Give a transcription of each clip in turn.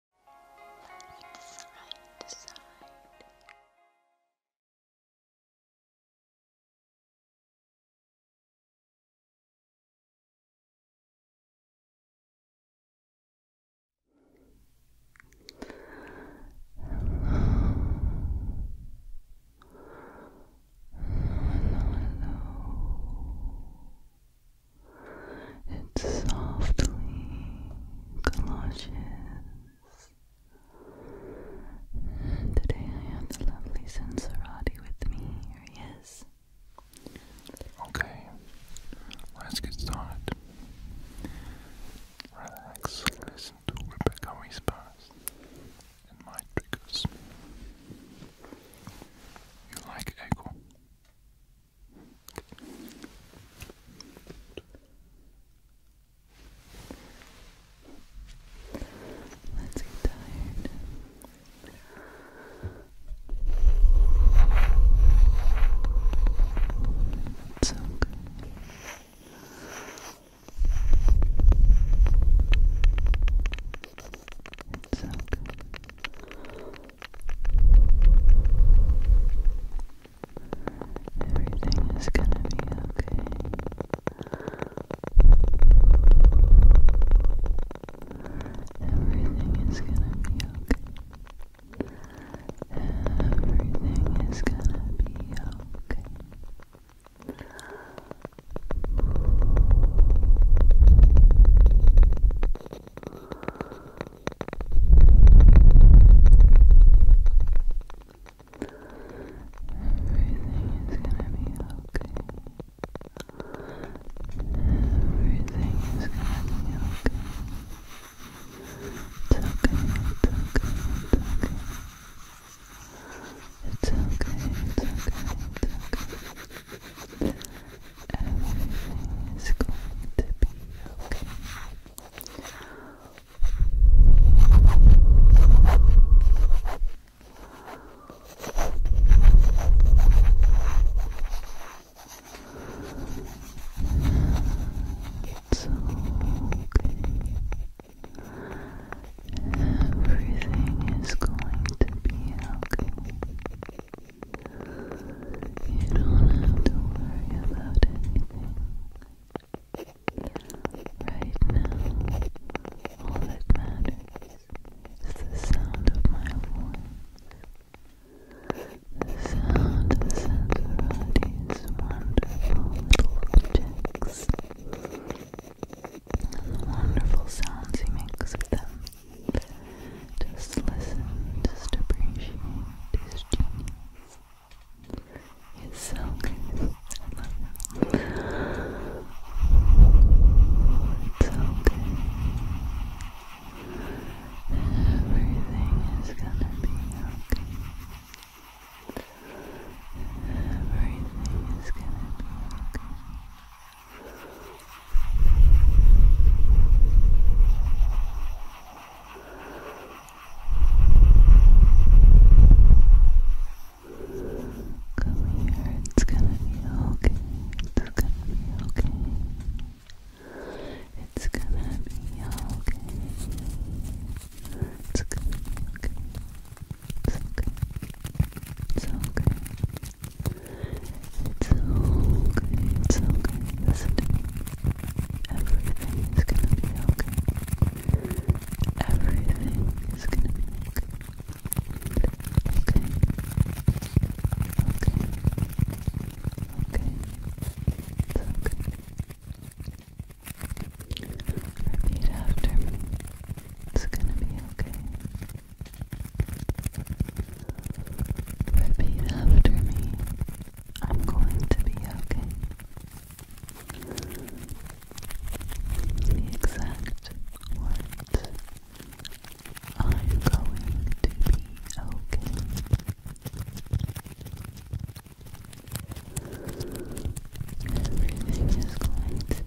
Look side to side. Hello. Hello, hello. It's softly galoshes. Today I have lovely Sensorati with me. Here he is. Okay, let's get started. Relax, listen to Rebecca whispers and my triggers. You like echo? Let's get tired. It's so good. It's so good. Everything is gonna be okay. Everything is gonna be okay. Everything is gonna be okay. Everything is gonna be okay. Everything is gonna be okay. It's okay, it's okay, it's okay. It's okay, it's okay, everything is going to be okay. It's Everything is going to be okay. You don't have to worry about anything. Right now, all that matters is the sound of my voice. The sound of Santorati's wonderful little objects and the wonderful sounds he makes with them. Just listen, just appreciate his genius. It's so good. It's so good. Everything is gonna be okay. Everything is gonna be okay. Come here, it's gonna be okay. It's gonna be okay. It's gonna be okay. It's okay. It's okay. It's okay. It's okay, it's okay. Everything is gonna be okay. Everything is gonna be okay. Okay. Okay. Okay. It's okay. Repeat after me. It's gonna be okay. Repeat after me. I'm going to be okay. The exact words I'm going to be okay. Everything is going to be okay.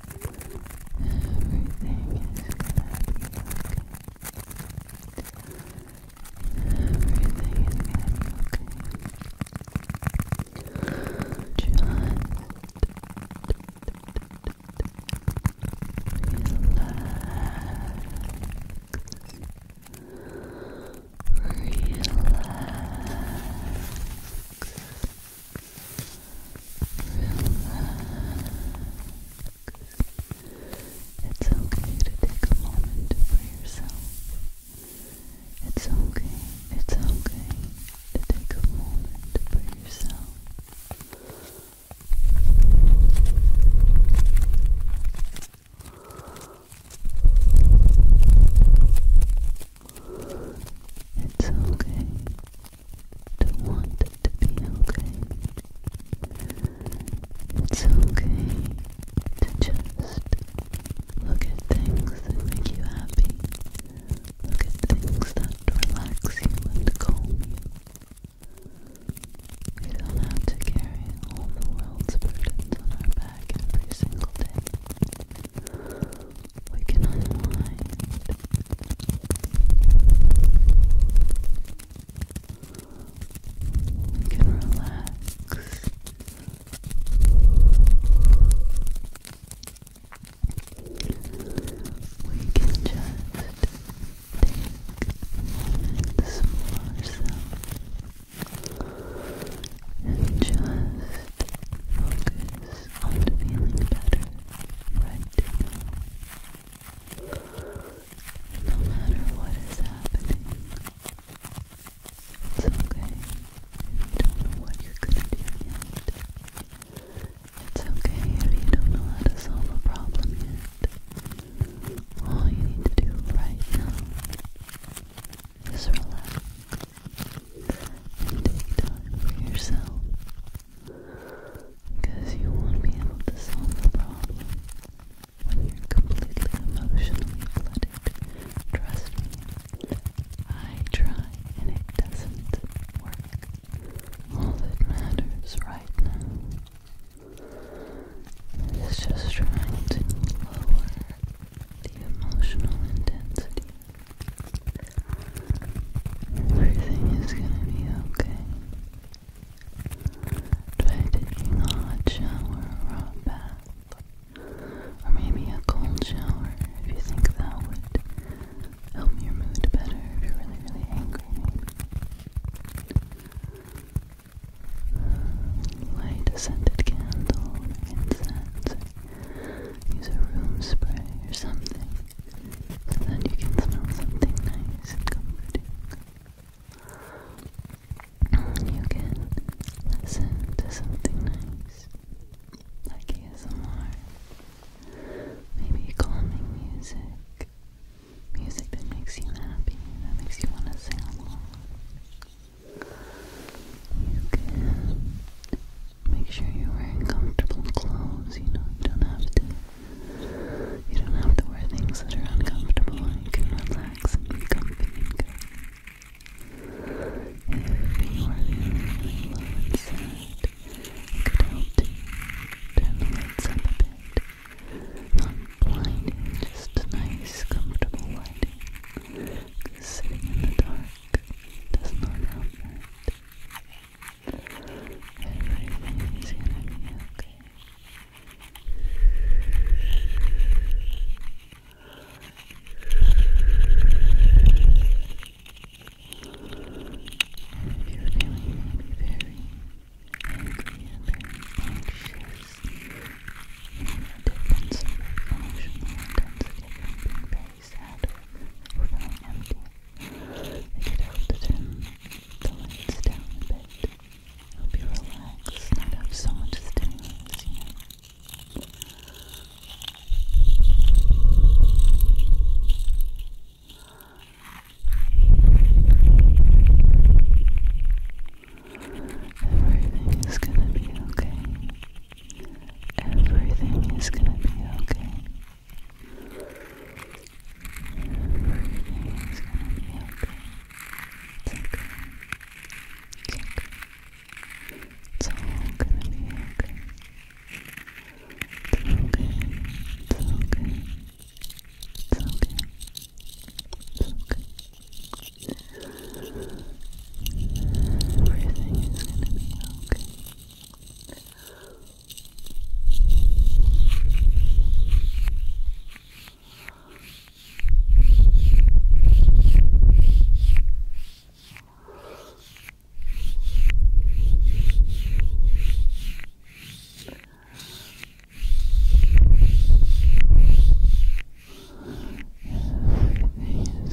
Everything is gonna be okay. Everything is gonna be okay. Just relax. Relax. It's okay to take a moment for yourself. It's okay, it's okay to take a moment for yourself. It's okay don't want it to be okay. It's okay to just look at things that make you happy. Look at things that relax you and calm you. We don't have to carry all the world's burdens on our back every single day we can unwind. We can relax. We can just take moments for ourselves and just focus on feeling better right no matter what is happening, it's okay if you don't know what you're gonna do yet. It's okay if you don't know how to solve a problem yet. All you need to do right now is relax and take time for yourself. Because you won't be able to solve the problem when you're completely emotionally flooded. Trust me, I try and it doesn't work. All that matters right now is just trying to lower the emotional intensity Everything is gonna be okay. Try taking a hot shower or a bath. Or maybe a cold shower if you think that would help your mood better if you're really, really angry. Light a scented candle or incense. use a room spray or something so you can smell something nice and comforting. You can listen to something nice, like ASMR, maybe calming music, music that makes you happy, that makes you want to sing along. You can Make sure you're wearing comfortable clothes. You know, you don't have to. You don't have to wear things that are uncomfortable. You can relax and be comfy and good. If you are feeling really low and it could help to turn the lights up a bit. Not just nice, comfortable lighting. Because sitting in the dark does not help Everything is gonna be okay. And if you're feeling maybe very angry and very anxious, you know, the difference of emotional intensity from being very sad or feeling empty, it could help to turn the lights down a bit. Help you relax, not have so much stimulus, Everything is gonna be okay. Everything is gonna be okay. Everything's gonna be okay. It's okay. okay. It's all gonna be okay. It's okay. It's okay. It's okay. It's okay. Everything is gonna be okay. Everything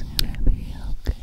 is gonna be okay.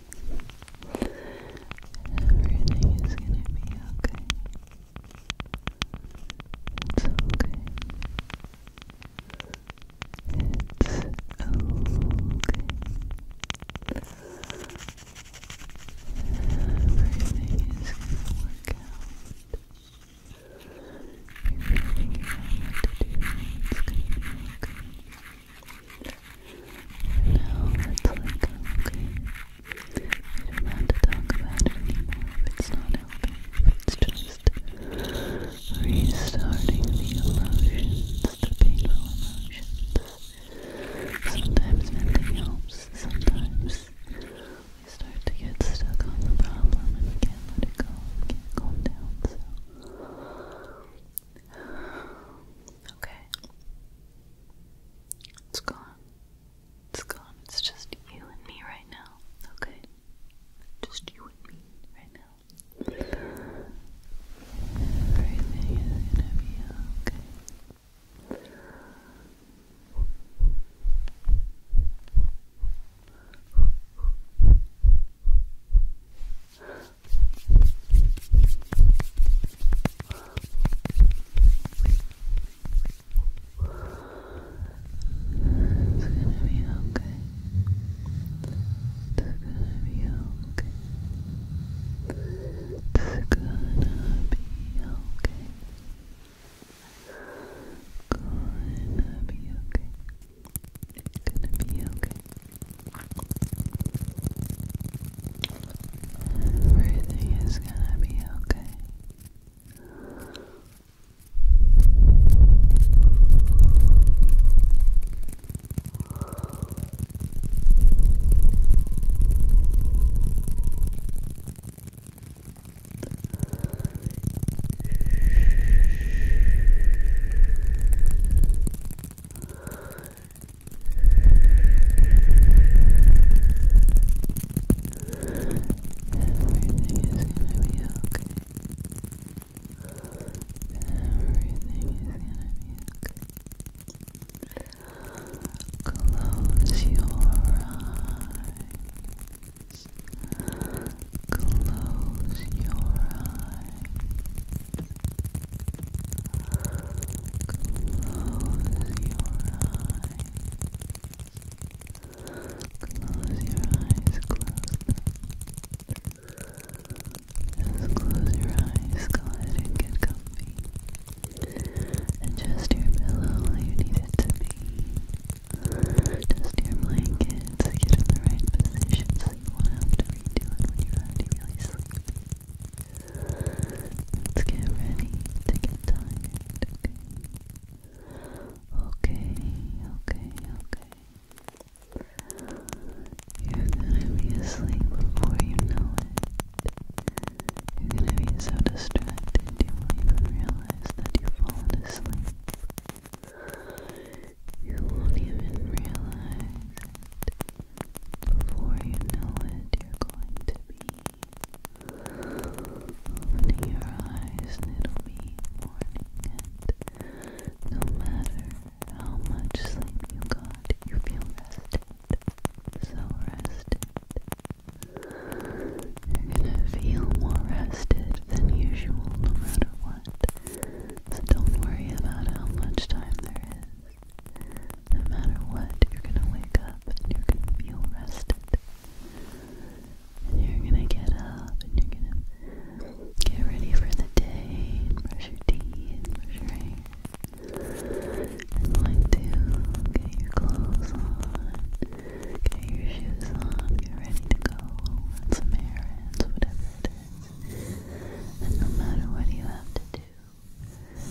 Everything is gonna be okay. It's okay. It's okay. Everything is gonna work out. You're to do. It's gonna be now let's not talk about it anymore it's not helping. It's just restarting the emotions, the painful emotions. Sometimes nothing helps, sometimes we start to get stuck on the problem and we can't let it go, can't calm down, Okay. It's gone. It's gone. It's just you and me right now. Okay. Just you and me right now. Everything is gonna be okay. It's gonna be okay. It's gonna be okay. It's gonna be okay. Gonna be okay. Gonna be okay. Everything is gonna be okay. Everything is gonna be okay. Everything is gonna be okay. Close your eyes. Close your eyes. Close your eyes, close them. Just close your eyes, go ahead and get comfy. Adjust your pillow how you need it to be. Adjust your blankets, get in the right position so you won't have to redo it when you're already really Let's get ready to get tired, Okay, okay, okay. You're gonna be asleep before you know it. You're gonna be so distracted you won't even realize that you've fallen asleep. You won't even realize Before you know it, you're going to be opening your eyes and it'll be morning. And no matter how much sleep you got, you feel rested. So rested. You're gonna feel more rested than usual no matter what. So don't worry about how much time there is. No matter what, you're gonna wake up and you're gonna feel rested. And you're gonna get up and you're gonna get ready for the day and brush your teeth and brush your hair. And like to get your clothes on, get your shoes on, get ready to go, run some errands, whatever and no matter what you have to do,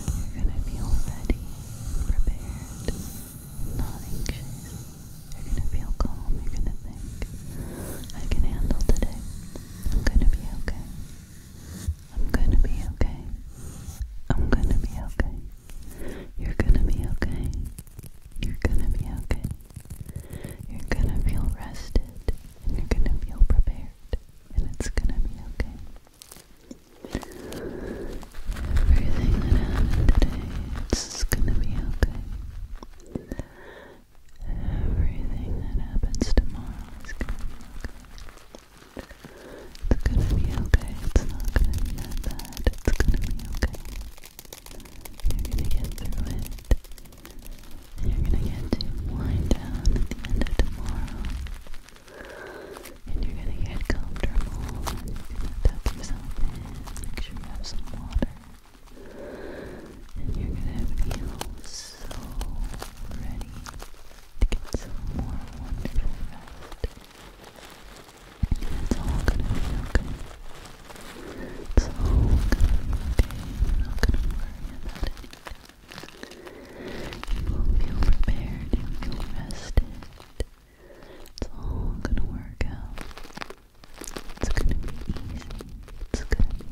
you're going to feel ready, prepared, not anxious. You're going to feel calm. You're going to think, I can handle today. I'm going to be okay. I'm going to be okay. I'm going to be okay. You're going to be okay. You're going to be okay. You're going to feel rested you're going to feel prepared and it's gonna be okay. Everything that happened today, it's gonna be okay. Everything that happens tomorrow is gonna be okay. It's gonna be okay. It's not gonna be that bad. It's gonna be okay. You're gonna get through it. And you're gonna get to wind down at the end of tomorrow. And you're gonna get comfortable you're gonna tuck yourself in. Make sure you have some water. And you're gonna feel so ready to get some more wonderful rest. And it's all gonna be okay. It's okay. You're not gonna worry about anything. You will feel prepared, you will feel rested. It's all gonna work out. It's gonna be easy. It's going okay.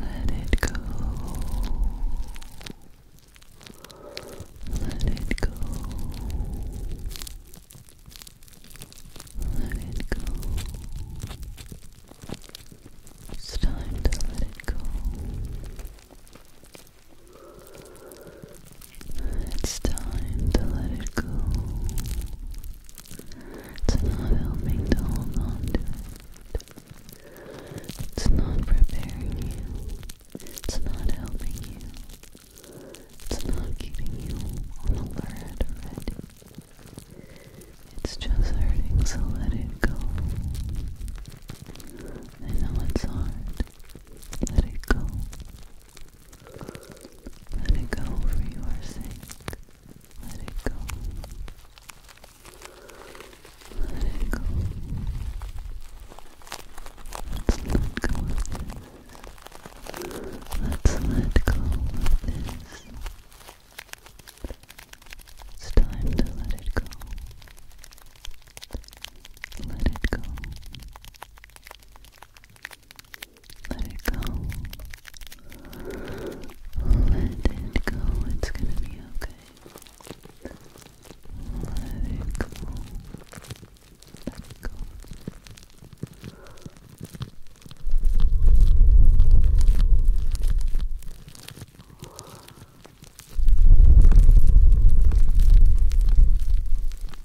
Let it go. Let it go. Let it go. It's time to let it go. It's time to let it go. It's not helping to hold on to it. It's not preparing you. It's not helping you. It's not keeping you on alert ready. It's just hurting, so let it go. I know it's hard. Let it go. Let it go for your sake. Let it go. Let it go. Let's let go of this. Let's let go of this. It's time to let it go. Let it go. Let it go. Let it go. It's gonna be okay. Let it go. Let go.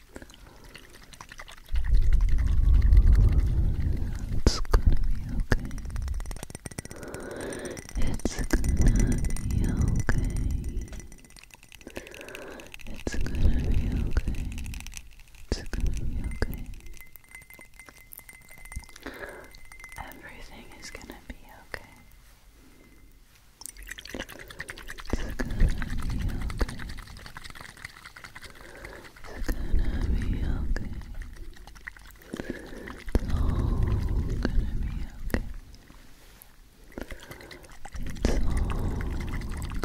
It's gonna be okay. It's gonna be okay. It's gonna be okay. It's gonna be okay. Everything is gonna be okay. It's gonna be okay. It's gonna be okay. It's all gonna be okay. It's all gonna be okay.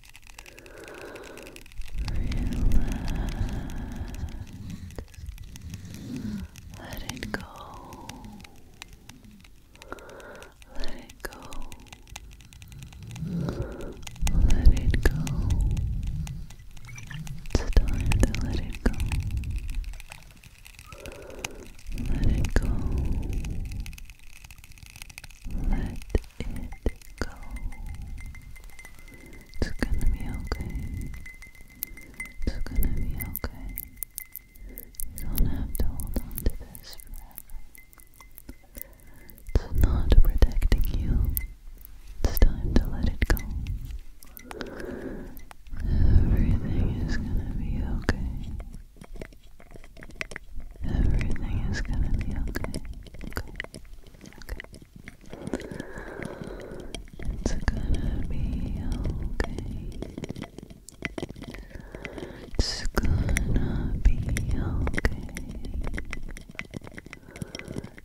Let it go. Let it go. Let it go. It's time to let it go. Let it go. Let it go. It's gonna be okay. It's gonna be okay. You don't have to hold on to this forever. It's not protecting you. It's time to let it go. Everything is gonna be okay. Everything is gonna be okay. It's gonna be okay. It's gonna be okay. It's gonna be okay.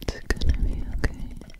It's gonna be okay.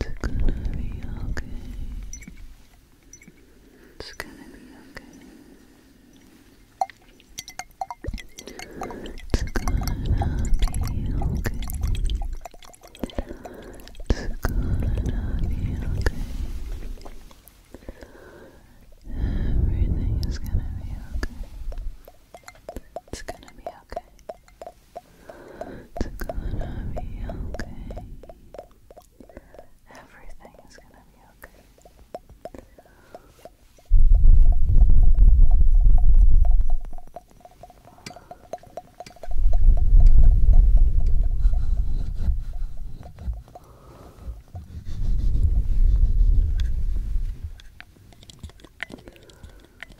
It's gonna be okay. It's gonna be okay. It's gonna be okay. It's gonna be okay. Everything is gonna be okay. It's gonna be okay. It's gonna be okay. Everything is gonna be okay.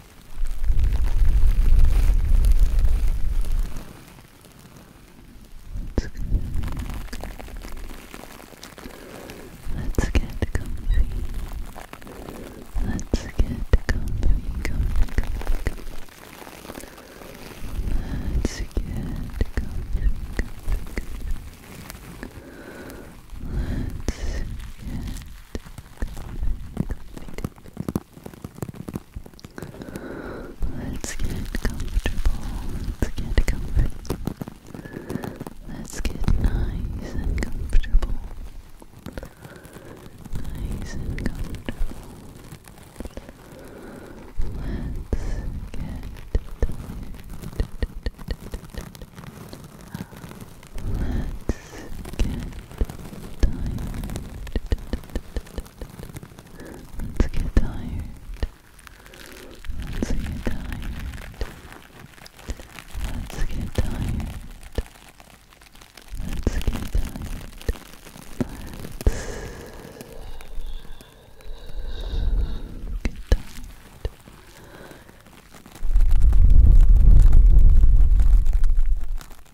Let's get comfy. Let's get comfy, comfy, comfy. Let's get comfy, comfy, comfy. Let's get comfy, comfy, comfy. Let's get comfortable. get comfortable. Let's get nice and comfortable. Nice and comfortable. Let's get Let's get tired. Let's get tired. Let's get tired. Let's get tired. Let's get tired. Let's get tired.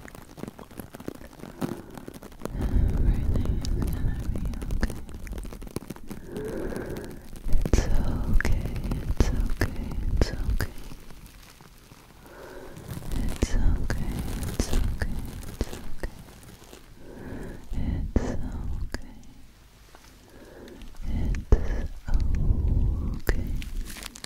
Everything is gonna be okay. It's okay, it's okay, it's okay. It's okay, it's okay, it's okay. It's okay. It's okay.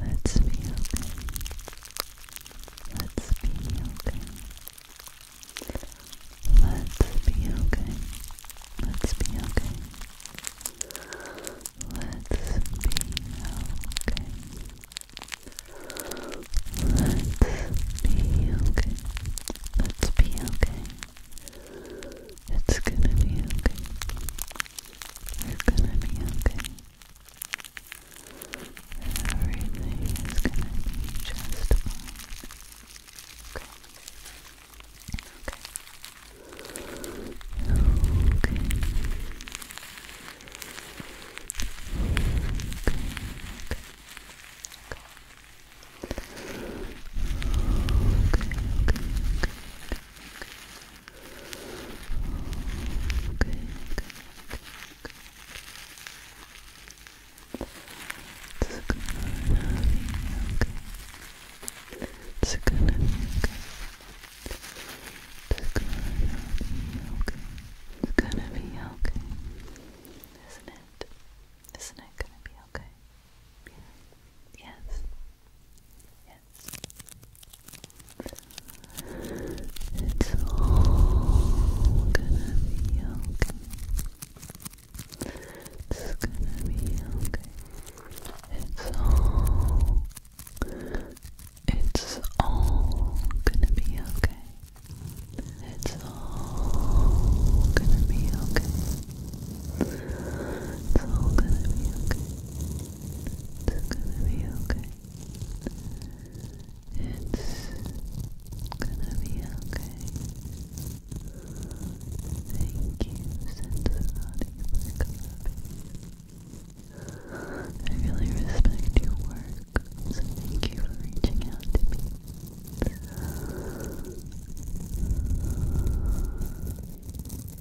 Let's be okay. Let's be okay. Let's be okay. Let's be okay. Let's be okay. Let's be okay. Let's be okay. It's gonna be okay. You're gonna be okay. Everything is gonna be just fine. Okay. Okay. Okay. Okay. Okay. Okay. Okay good, good, good. It's gonna be okay. It's gonna be okay. It's gonna be okay. It's gonna be okay. Isn't it? Isn't it gonna be okay? Yeah. Yes. It's all gonna be okay. It's gonna be okay. It's all. It's all gonna be okay. It's all gonna be okay. It's all gonna be okay. It's gonna be okay. It's gonna be okay. Thank you, Sensorati, for I really respect your work, so thank you for reaching out to me.